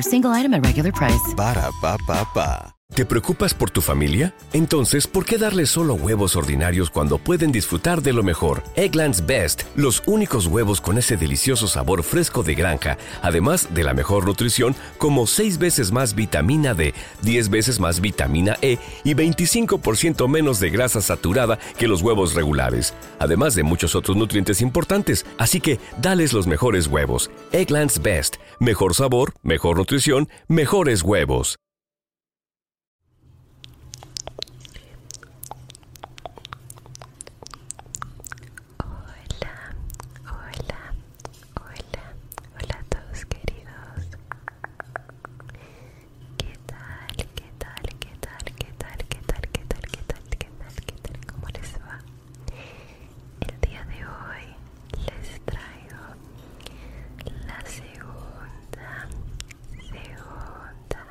single item at regular price. te preocupas por tu familia? Entonces, ¿por qué darles solo huevos ordinarios cuando pueden disfrutar de lo mejor? Eggland's Best, los únicos huevos con ese delicioso sabor fresco de granja, además de la mejor nutrición, como 6 veces más vitamina D, 10 veces más vitamina E y 25% menos de grasa saturada que los huevos regulares además de muchos otros nutrientes importantes, así que dales los mejores huevos. Egglands Best, mejor sabor, mejor nutrición, mejores huevos. Hola, hola, hola, hola a todos queridos. ¿Qué tal? ¿Qué tal? ¿Qué tal? ¿Qué tal? ¿Qué tal? ¿Qué tal? ¿Qué tal? ¿Qué tal? ¿Cómo les va? El día de hoy les traigo la segunda, segunda,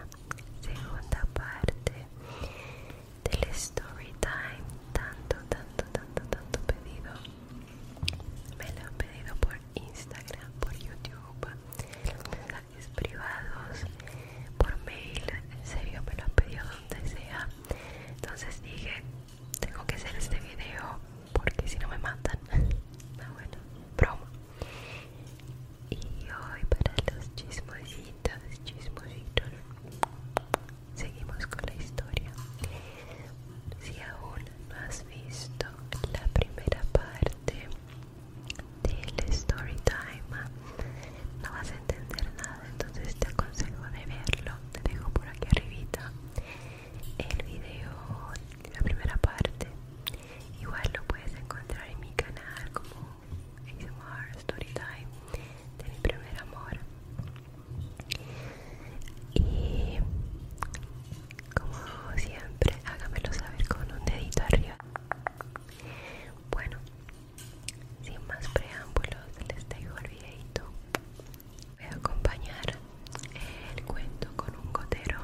segunda parte del story time tanto, tanto, tanto, tanto pedido. Me lo han pedido por Instagram, por YouTube, los mensajes privados por mail, en serio me lo han pedido donde sea. Entonces dije, tengo que hacer este video porque si no me mandan no, ah, bueno, broma. Y hoy para los chismositos, chismositos, seguimos con la historia. Si aún no has visto la primera parte del story time no vas a entender nada entonces te aconsejo de verlo te dejo por aquí arribita el video la primera parte igual lo puedes encontrar en mi canal como ASMR Storytime de mi primer amor y como siempre hágamelo saber con un dedito arriba bueno sin más preámbulos, les dejo el videito. Voy a acompañar el cuento con un gotero.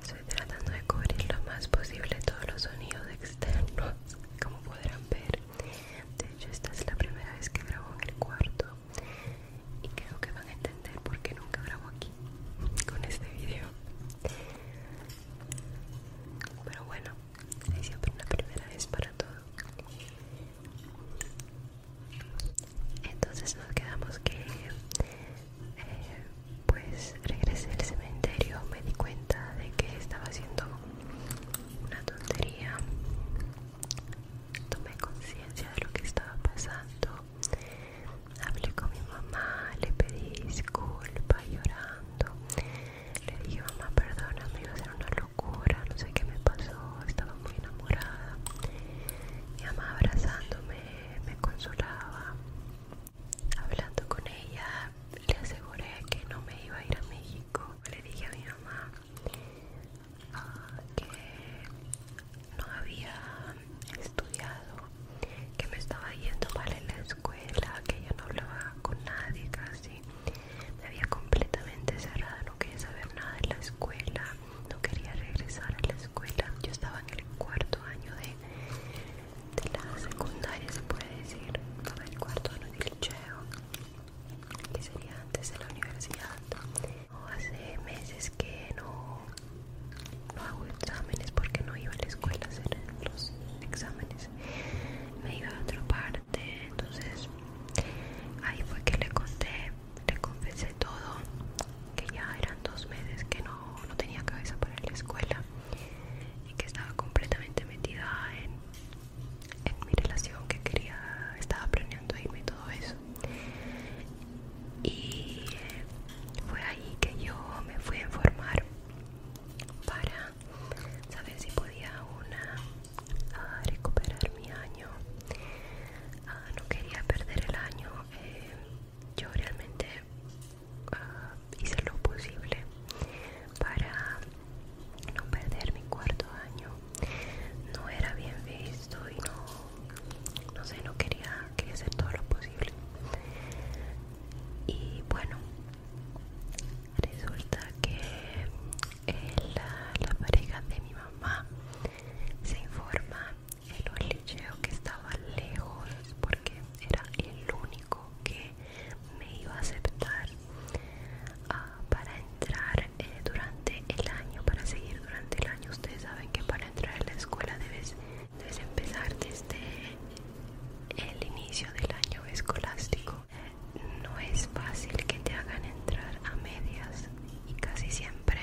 Estoy tratando de cubrir lo más posible todos los sonidos externos, como podrán ver. De hecho, esta es la primera vez que grabo en el cuarto y creo que van a entender por qué nunca grabo aquí con este video. Pero bueno es siempre una primera vez para todo entonces nos quedamos que eh, pues regresé al cementerio me di cuenta de que estaba haciendo una tontería tomé conciencia de lo que estaba pasando hablé con mi mamá le pedí disculpa llorando le dije, mamá, me iba a ser una locura, no sé qué me pasó, estaba muy enamorada. Mi mamá abrazándome, me consolaba. Hablando con ella, le aseguré que no me iba a ir a México. Le dije a mi mamá ah, que no había estudiado, que me estaba yendo mal en la escuela que yo no hablaba con nadie casi me había completamente cerrada no quería saber nada de la escuela no quería regresar a la escuela yo estaba en el cuarto año de, la secundaria se puede decir el cuarto año del liceo que sería antes de la universidad o hace meses que no no hago exámenes porque no iba a la escuela a hacer los exámenes me iba a otra parte entonces ahí fue que le conté le confesé todo que ya eran dos meses que no, tenía cabeza para la escuela y que estaba completamente metida en, en mi relación que quería estaba planeando irme y todo eso y eh, fue ahí que yo me fui a informar para sabes si podía una ah, ah, recuperar mi año ah, no quería perder el año eh, yo realmente hice lo posible para no perder mi cuarto año no era bien visto y no sé no quería quería hacer todo lo posible y bueno resulta que eh, la, pareja de mi mamá se informa en un liceo que estaba lejos porque era el único que me iba a aceptar ah, para entrar eh, durante el año, para seguir durante el año. Ustedes saben que para entrar a la escuela debes empezar desde el inicio del año escolástico no es fácil que te hagan entrar a medias y casi siempre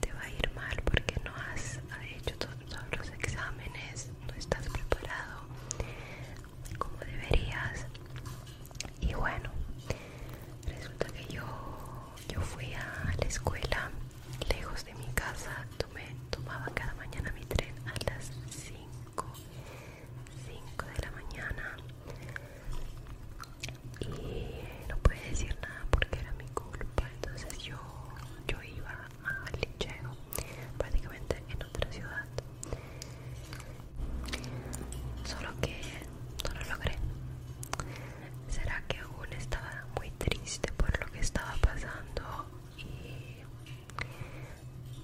te va a ir mal porque no has hecho todos los exámenes, no estás preparado como deberías y bueno resulta que yo yo fui a la escuela lejos de mi casa me tomaba cada mañana mi tren a las 5 5 de la mañana y no pude decir nada porque era mi culpa entonces yo yo iba al linchego prácticamente en otra ciudad solo que no lo logré será que aún estaba muy triste por lo que estaba pasando y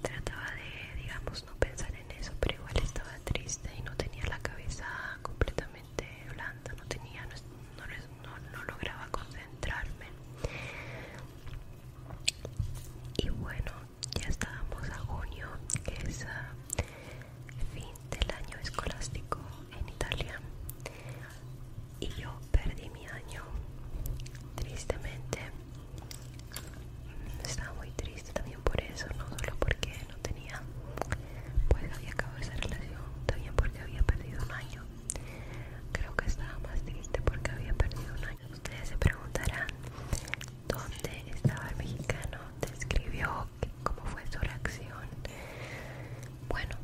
Trataba de, digamos, no pensar en eso, pero igual estaba triste y no tenía la cabeza completamente blanda, no tenía, no, lograba concentrarme. Y bueno, ya estábamos a junio, que es ah, fin del año escolástico en Italia. Y yo perdí mi año, tristemente. Estaba muy triste también por eso, no solo porque no tenía, pues había acabado esa relación, también porque había perdido un año. Creo que estaba más triste porque había perdido un año. Ustedes se preguntarán dónde estaba el mexicano, describió cómo fue su reacción. Bueno,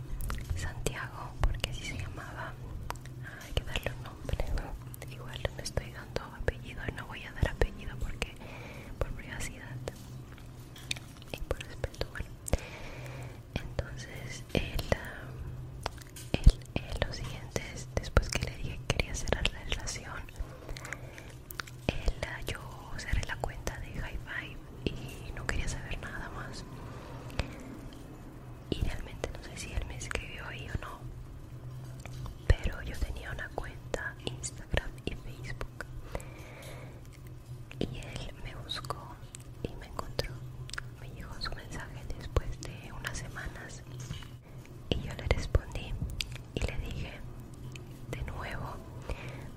Santiago, porque así se llamaba hay que darle un nombre igual no estoy dando apellido y no voy a dar apellido porque por privacidad y por respeto entonces él ah, el, el, lo siguiente después que le dije que quería cerrar la relación él ah, yo cerré la cuenta de hi-fi y no quería saber nada más y realmente no sé si él me escribió ahí o no pero yo tenía una cuenta Instagram y Facebook y él me buscó y me encontró me llegó su mensaje después de unas semanas y yo le respondí y le dije de nuevo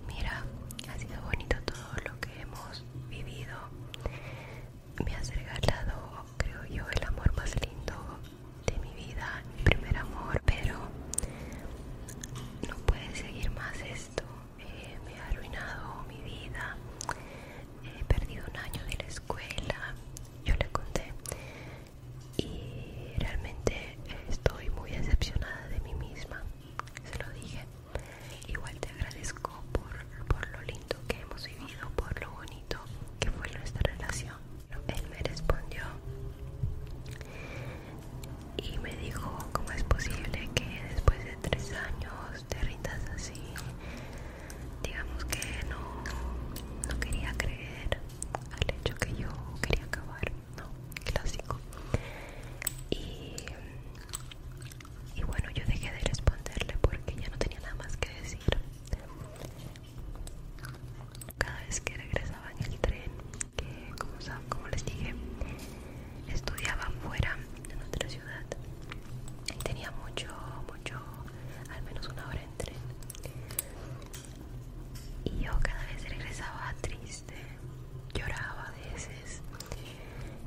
mira ha sido bonito todo lo que hemos vivido me has regalado, creo yo, el amor más lindo de mi vida, mi primer amor, pero no puede seguir más esto. Eh, me ha arruinado mi vida. He perdido un año de la escuela, yo le conté, y realmente estoy muy decepcionada de mí misma. Se lo dije. Igual te agradezco por, lo lindo que hemos vivido, por lo bonito que fue nuestra relación. Él me respondió y me dijo, ¿cómo es posible que después de tres años te rindas así? Digamos que no, quería creer al hecho que yo quería acabar, ¿no? Clásico. y bueno, yo dejé de responderle porque ya no tenía nada más que decir. Cada vez que regresaba en el tren, que como, les dije, estudiaba fuera de nuestra ciudad y tenía mucho, mucho, al menos una hora en tren. Y yo cada vez regresaba triste, lloraba a veces.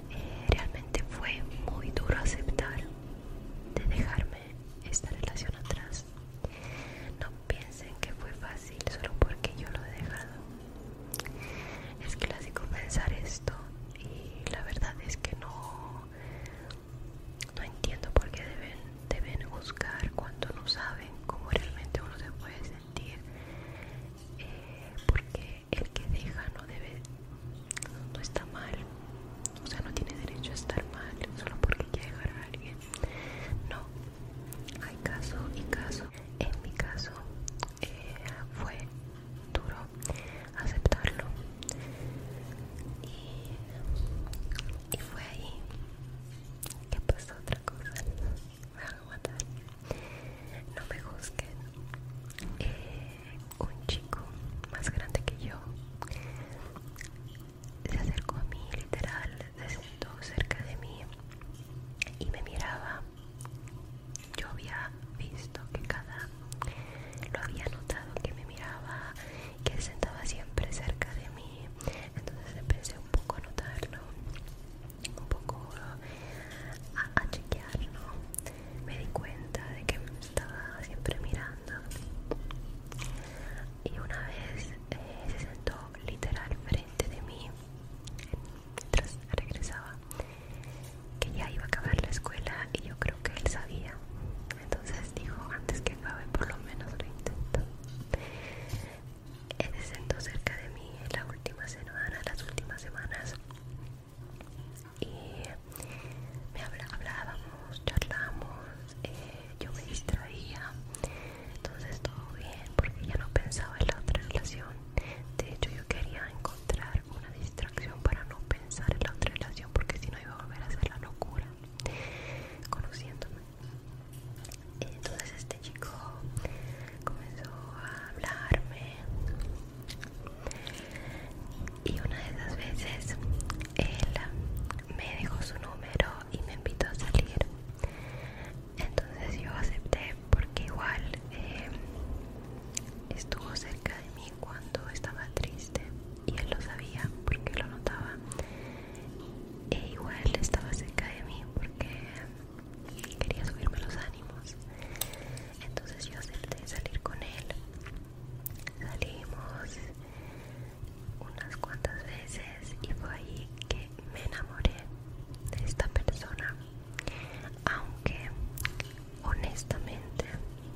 Eh, realmente fue muy duro aceptar de dejarme esta relación atrás. No piensen que fue fácil solo porque yo lo he dejado. Es que clásico pensar esto y la verdad es que no, no entiendo por qué deben, deben cuando no saben cómo realmente uno se puede sentir. Eh, porque el que deja no debe no está mal, o sea, no tiene derecho a estar mal solo porque quiere dejar a alguien. No, hay caso y caso. En mi caso eh, fue duro aceptarlo y, fue ahí que pasó otra cosa. Me van a matar. No me juzguen. Eh, un chico más grande que yo se acercó a mí literal, se sentó cerca de mí y me miraba. Yo había visto que cada lo había notado que me miraba, que se sentaba siempre cerca de mí. Entonces empecé un poco a notarlo, un poco a chequearlo me di cuenta de que estaba siempre mirando y una vez eh, se sentó literal frente de mí mientras regresaba que ya iba a acabar la escuela y yo creo que él sabía entonces dijo antes que acabe por lo menos lo intento él se sentó cerca de mí en la última semana las últimas semanas y me hablábamos, charlábamos, eh, yo me distraía, entonces todo bien porque ya no pensaba en la otra relación. De hecho, yo quería encontrar una distracción para no pensar en la otra relación porque si no iba a volver a hacer la locura conociéndome. Entonces este chico comenzó a hablarme y una de esas veces él me dejó su número y me invitó a salir. Entonces yo acepté porque igual eh, estuvo cerca de mí cuando estaba triste y él lo sabía porque lo notaba. E igual estaba cerca de mí porque quería subirme los ánimos. Entonces yo acepté salir con él Salimos unas cuantas veces y fue ahí que me enamoré de esta persona. Aunque honestamente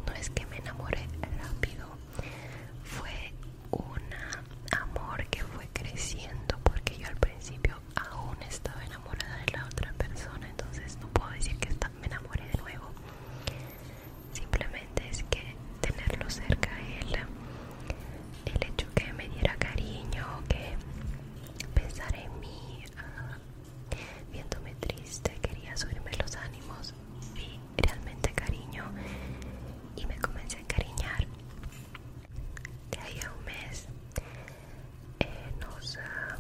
no es que me enamoré rápido, fue un amor que fue creciendo porque yo al principio aún estaba enamorada de la otra persona, entonces no puedo decir que me enamoré de nuevo simplemente es que tenerlo cerca él el hecho que me diera cariño que pensar en mí ah, viéndome triste quería subirme los ánimos vi realmente cariño y me comencé a encariñar de ahí a un mes eh, nos, ah,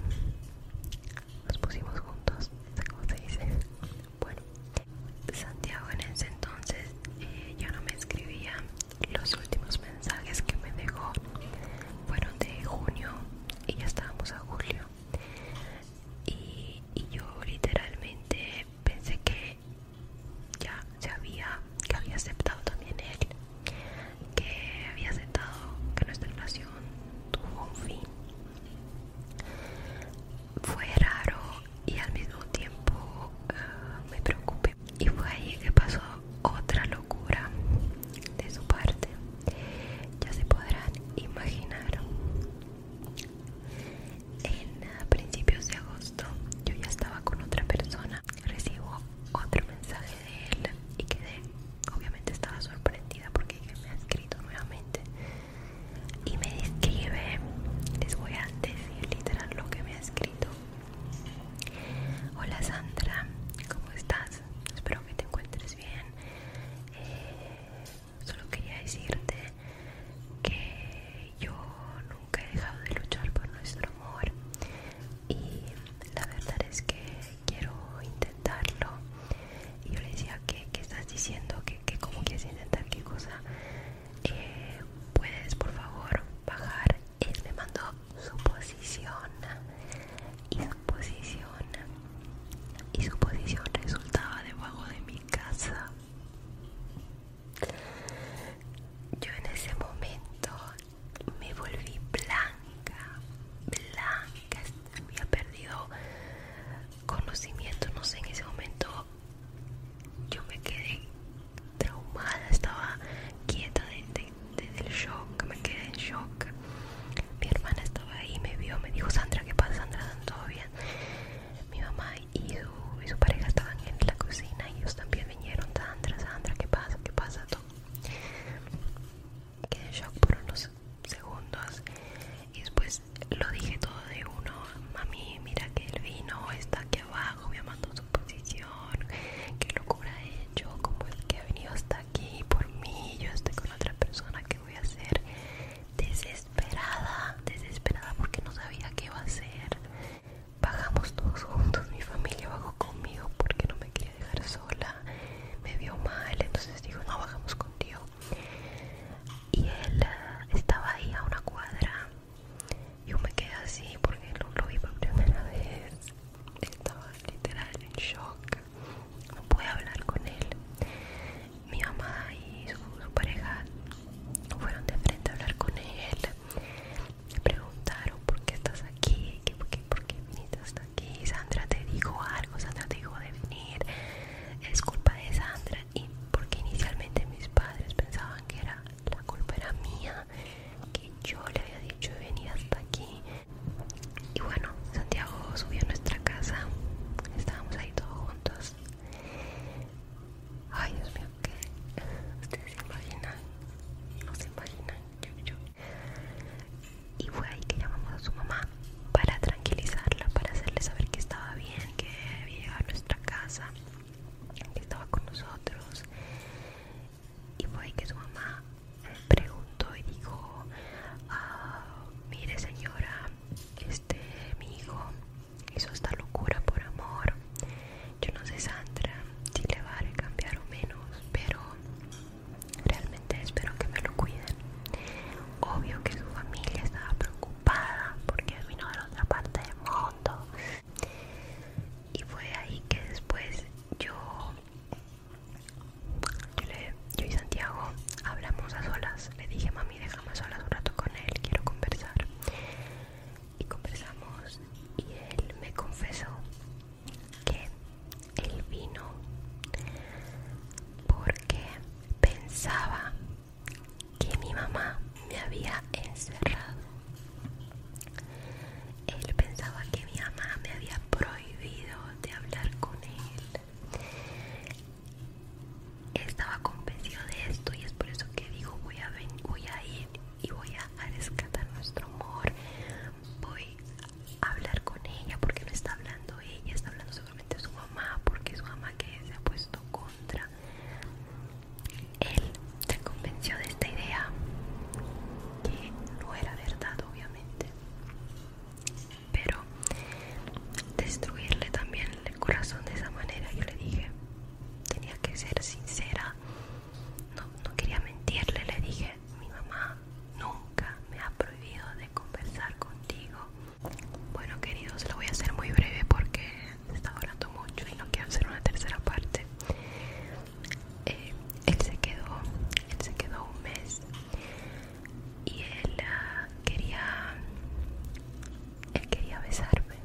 nos pusimos juntos, ¿cómo se dice? Bueno, Santiago en ese entonces eh, ya no me escribía. Los últimos mensajes que me dejó fueron de junio y ya estábamos a julio. Y, y yo literalmente pensé que ya se había, que había aceptado también él, que había aceptado que nuestra relación tuvo un fin fue raro y al mismo tiempo eh, me preocupé. Y fue ahí que pasó otra locura de su parte. Ya se podrán imaginar. En principios de agosto yo ya estaba con otra persona. Recibo otro mensaje de él y quedé, obviamente estaba sorprendida porque me ha escrito nuevamente y me describe, les voy a decir literal lo que me ha escrito. Hola Sandra, ¿cómo estás? Espero que te encuentres bien. Eh, solo quería decirte que yo nunca he dejado de luchar por nuestro amor y la verdad es que quiero intentarlo y yo le decía, ¿qué, estás diciendo? ¿Qué, qué, como cómo quieres intentar? ¿Qué cosa? Eh, ¿Puedes, por favor, bajar? Él me mandó su posición y su posición y su posición resultaba debajo de mi casa. Yo en ese momento me volví blanca, blanca, había perdido conocimiento, no sé, en ese momento yo me quedé traumada, estaba quieta desde el shock, me quedé en shock. Mi hermana estaba ahí, me vio, me dijo, Sandra, ¿qué pasa? Sandra, todo bien? Mi mamá y su, pareja estaban en la cocina y ellos también vinieron, Sandra, Sandra, ¿qué pasa? ¿Qué pasa? Todo. Quedé shock por segundos y después lo dije todo de uno mami mira que el vino está aquí abajo me ha mandado su posición qué locura he hecho como el que ha venido hasta aquí por mí yo estoy con otra persona que voy a hacer desesperada desesperada porque no sabía qué va a hacer bajamos todos juntos mi familia bajó conmigo porque no me quería dejar sola me vio mal entonces dijo no bajamos contigo y él eh, estaba ahí a una cuadra yo me quedé así porque lo, vi por primera vez estaba literal en shock no pude hablar con él mi mamá y su, pareja fueron de frente a hablar con él me preguntaron por qué estás aquí por, qué, por qué viniste hasta aquí Sandra te dijo algo Sandra te dijo de venir es culpa de Sandra y porque inicialmente mis padres pensaban que era la culpa era mía, que yo le había dicho de venir hasta aquí. Y bueno, Santiago subió a nuestra casa, estábamos ahí todos juntos. Ay, Dios mío, que ustedes se imaginan, no se imaginan, yo, Y fue ahí que llamamos a su mamá para tranquilizarla, para hacerle saber que estaba bien, que había llegado a nuestra casa, que estaba con nosotros. Y fue que su mamá preguntó y dijo, ah, mire señora, este mi hijo hizo esta locura por amor. Yo no sé Sandra si le va a cambiar o menos, pero realmente espero que me lo cuiden. Obvio que su familia estaba preocupada porque vino de la otra parte del mundo. Y fue ahí que después yo, y Santiago hablamos a solas. Le dije, mami, déjame a solas un rato con él, quiero conversar. Y conversamos y él me confesó que él vino porque pensaba que mi mamá me había encerrado. Él pensaba que mi mamá me había prohibido de hablar con él. Estaba convencido de esto y es por eso que dijo voy a, voy a ir y voy a rescatar nuestro amor. Voy a hablar con ella porque no está hablando ella, está hablando su mamá porque su mamá que se ha puesto contra él se convenció de esta idea que no era verdad obviamente pero destruirle también el corazón de esa manera yo le dije tenía que ser sincera no, no quería mentirle le dije mi mamá nunca me ha prohibido conversar contigo. Bueno, queridos, lo voy a hacer muy breve porque está hablando mucho y no quiero hacer una tercera parte. Eh, él se quedó, él se quedó un mes y él ah, quería, él quería besarme.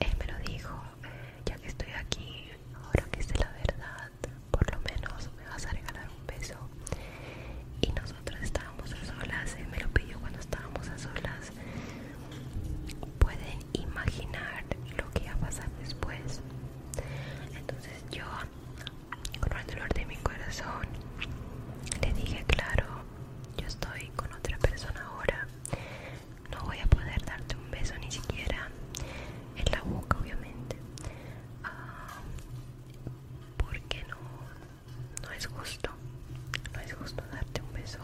Él me lo dijo, eh, ya que estoy aquí, ahora que sé la verdad, por lo menos me vas a regalar un beso y nosotros estábamos a solas, él me lo pidió cuando estábamos a solas. Pueden imaginar lo que iba a pasar después. Entonces yo, con el dolor de mi corazón, le dije, claro, yo estoy con otra persona ahora. No voy a poder darte un beso ni siquiera en la boca, obviamente. Ah, ¿Por qué no no es justo no es justo darte un beso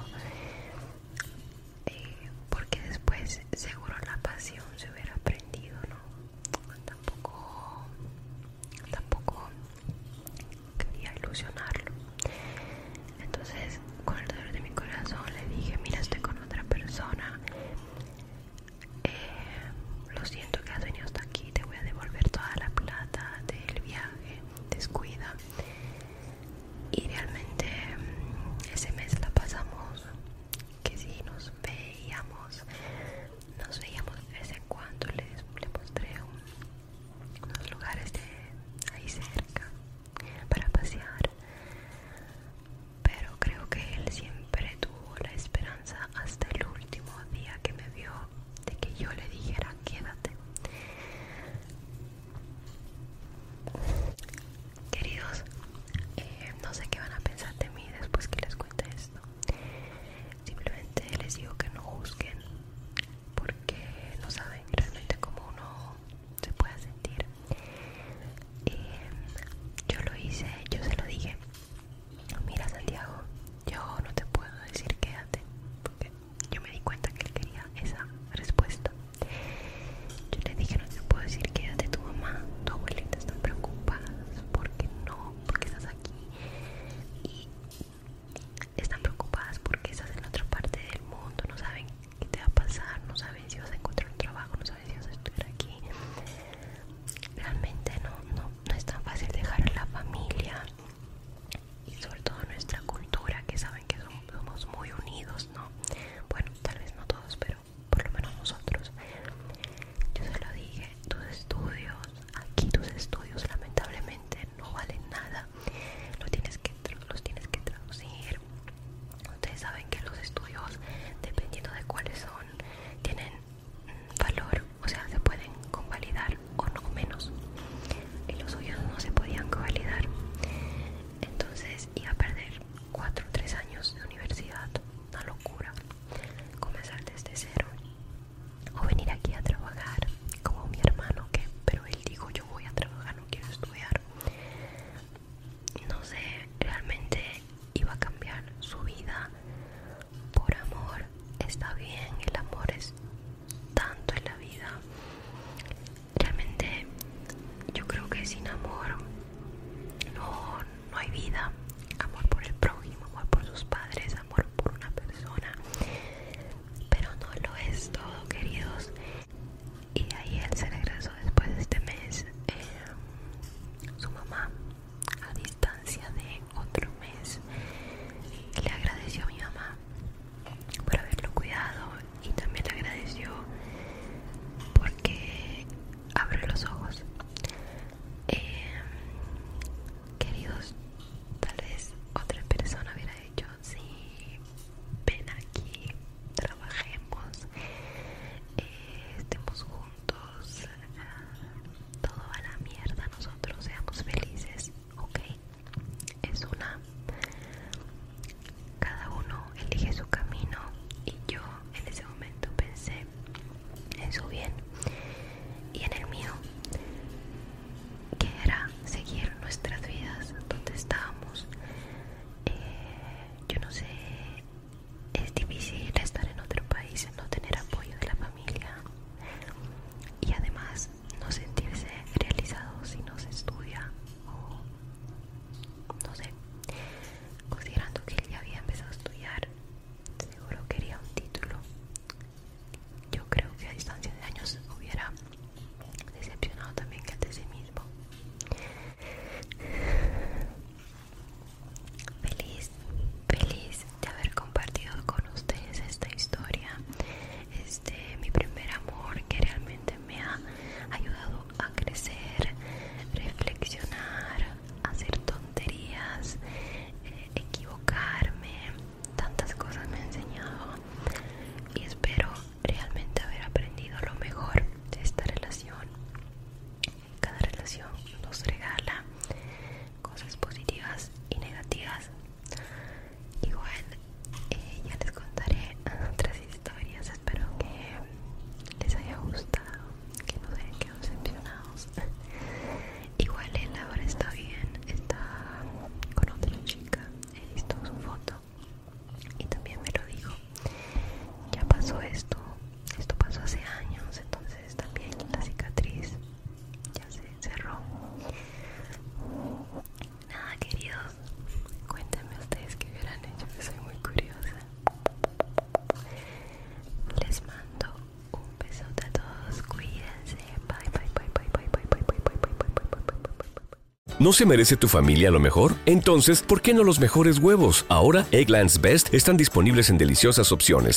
eh, porque después seguro la pasión se hubiera aprendido no tampoco tampoco quería ilusionarlo entonces con el dolor de mi corazón le dije mira estoy con otra persona eh, lo siento que has venido hasta aquí, te voy a devolver toda la plata del viaje, descuida. Y realmente mm, ese mes la pasamos, que si nos veíamos, nos veíamos de vez en cuando, les, mostré unos lugares de ahí cerca para pasear. Pero creo que él siempre tuvo la esperanza hasta el último día que me vio de que yo le dijera quédate. Queridos, eh, no sé qué van a pensar de mí después que les cuente esto. Simplemente les digo que no busquen porque no saben realmente cómo uno se puede sentir. Eh, yo lo hice, yo se lo dije Mira Santiago, yo no te puedo decir quédate, porque yo me di cuenta que él quería esa respuesta. Yo le dije no te puedo decir quédate, tu mamá, tu abuelita están preocupadas porque no, porque estás aquí y están preocupadas porque estás en otra parte del mundo, no saben qué te va a pasar, no saben si vas a encontrar un trabajo, no saben si vas a estar aquí. Realmente no, no, no es tan fácil dejar a la familia y sobre todo nuestra cultura que saben que somos muy unidos, ¿no? Bueno, tal vez no todos, pero por lo menos nosotros. Yo se lo dije, tus estudios, aquí tus estudios lamentablemente no valen nada. Los tienes que, los tienes que traducir. Ustedes saben que los estudios, dependiendo de cuáles son, tienen valor, o sea, se pueden convalidar o no menos. Y los suyos no se podían convalidar. Entonces iba a perder 4 o 3 años de universidad. Una locura. Comenzar desde cero. O venir aquí a trabajar, como mi hermano que, pero él dijo yo voy a trabajar, no quiero estudiar. No sé, realmente iba a cambiar su vida por amor está bien el amor es tanto en la vida realmente yo creo que sin amor no, hay vida amor por el prójimo amor por sus padres amor por una persona pero no lo es todo queridos y ahí él se regresó después de este mes eh, su mamá a distancia de otro mes le agradeció a mi mamá por haberlo cuidado y también le agradeció porque abrió los ojos em, queridos tal vez otra persona hubiera dicho sí, ven aquí trabajemos eh, estemos juntos ah, todo a la mierda nosotros seamos felices ok es una cada uno elige su camino y yo en ese momento pensé en su bien y en el mío que era seguir nuestras vidas donde estábamos eh, yo no sé es difícil estar en otro país no tener apoyo de la familia y además no sentirse realizado si no se estudia o no sé considerando que él ya había empezado a estudiar seguro quería un título yo creo que a distancia de años hubiera decepcionado también que de sí mismo feliz feliz de haber compartido con ustedes esta historia este mi primer amor que realmente me ha ayudado a crecer reflexionar hacer tonterías eh, equivocarme tantas cosas me ha enseñado y espero realmente haber aprendido lo mejor de esta relación cada relación nos regala cosas positivas y negativas Igual eh, ya les contaré otras historias. Espero que les haya gustado, que no se hayan quedado decepcionados. Igual él eh, ahora está bien, está con otra chica. He visto su foto y también me lo dijo. Ya pasó esto, esto pasó hace años, entonces también la cicatriz ya se cerró nada queridos cuéntame ustedes qué verán hecho que soy muy curiosa les mando un besote a todos cuídense ¿No se merece tu familia lo mejor? Entonces, ¿por qué no los mejores huevos? Ahora, Egglands Best están disponibles en deliciosas opciones